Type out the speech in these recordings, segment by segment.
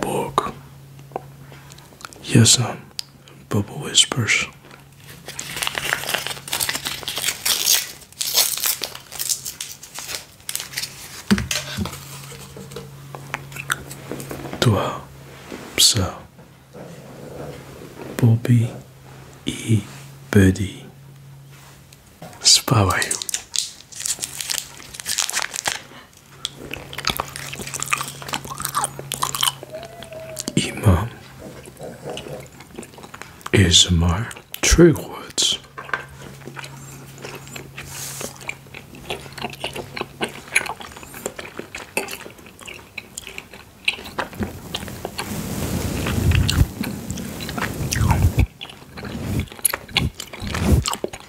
book. Yes, sir. Um, Bubble Whispers. Toi, ça, Bobby et Buddy. C'est pas vrai. Ima is my true words.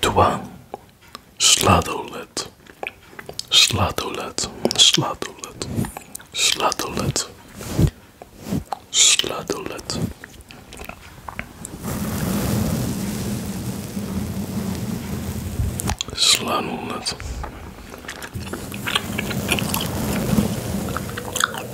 Dwa. Sladolet. Sladolet. Sladolet. Sladolet. Sladolet. Sladolet.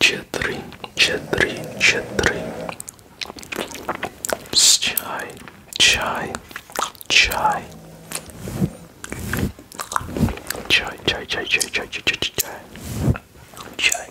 Четыре, четыре, четыре. Чай, чай, чай. Чай, чай, чай, чай, чай, чай, чай, чай. Чай.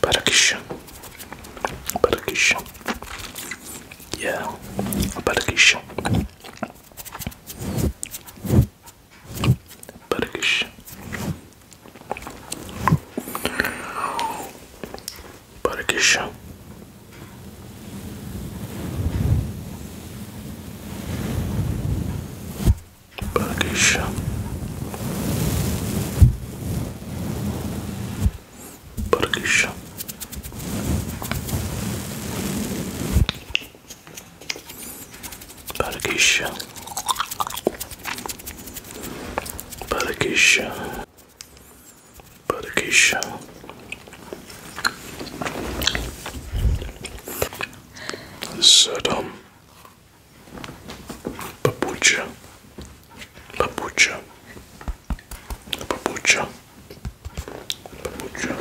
Barakish. Barakish. Yeah. Barakish. Barakish. Barakish. Barakish. Burgish. Burgish. Burgish. Burgish. Saddam. Papucha, papucha, papucha, papucha.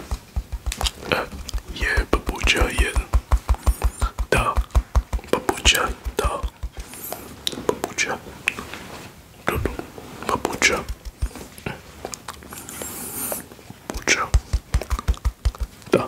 yeah, papucha, yeah. Da, papucha, da, papucha, do do, papucha, da.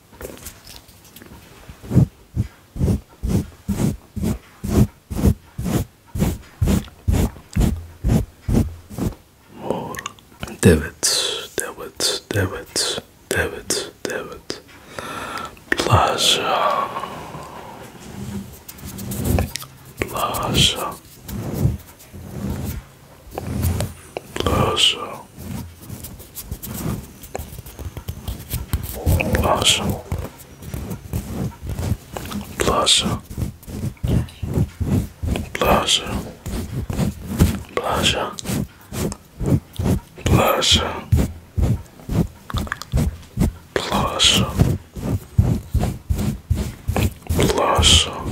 More debits, debits, debits, debits, debit. Pleasure, pleasure, pleasure. Blossom. Blossom. Blossom. Blossom. Blossom. Blossom. Blossom.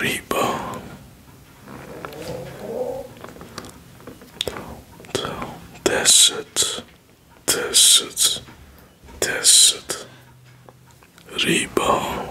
Rebound. Desert. Desert. Desert. Rebound.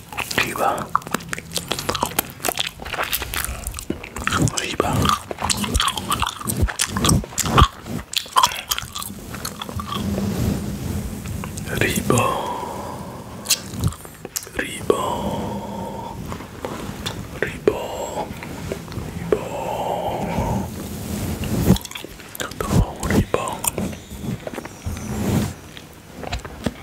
리바 리바 리버 리버 리버 리버 또 리버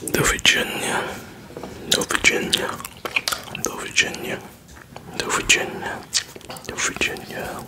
The Virginia, the Virginia, the Virginia, the Virginia, the Virginia.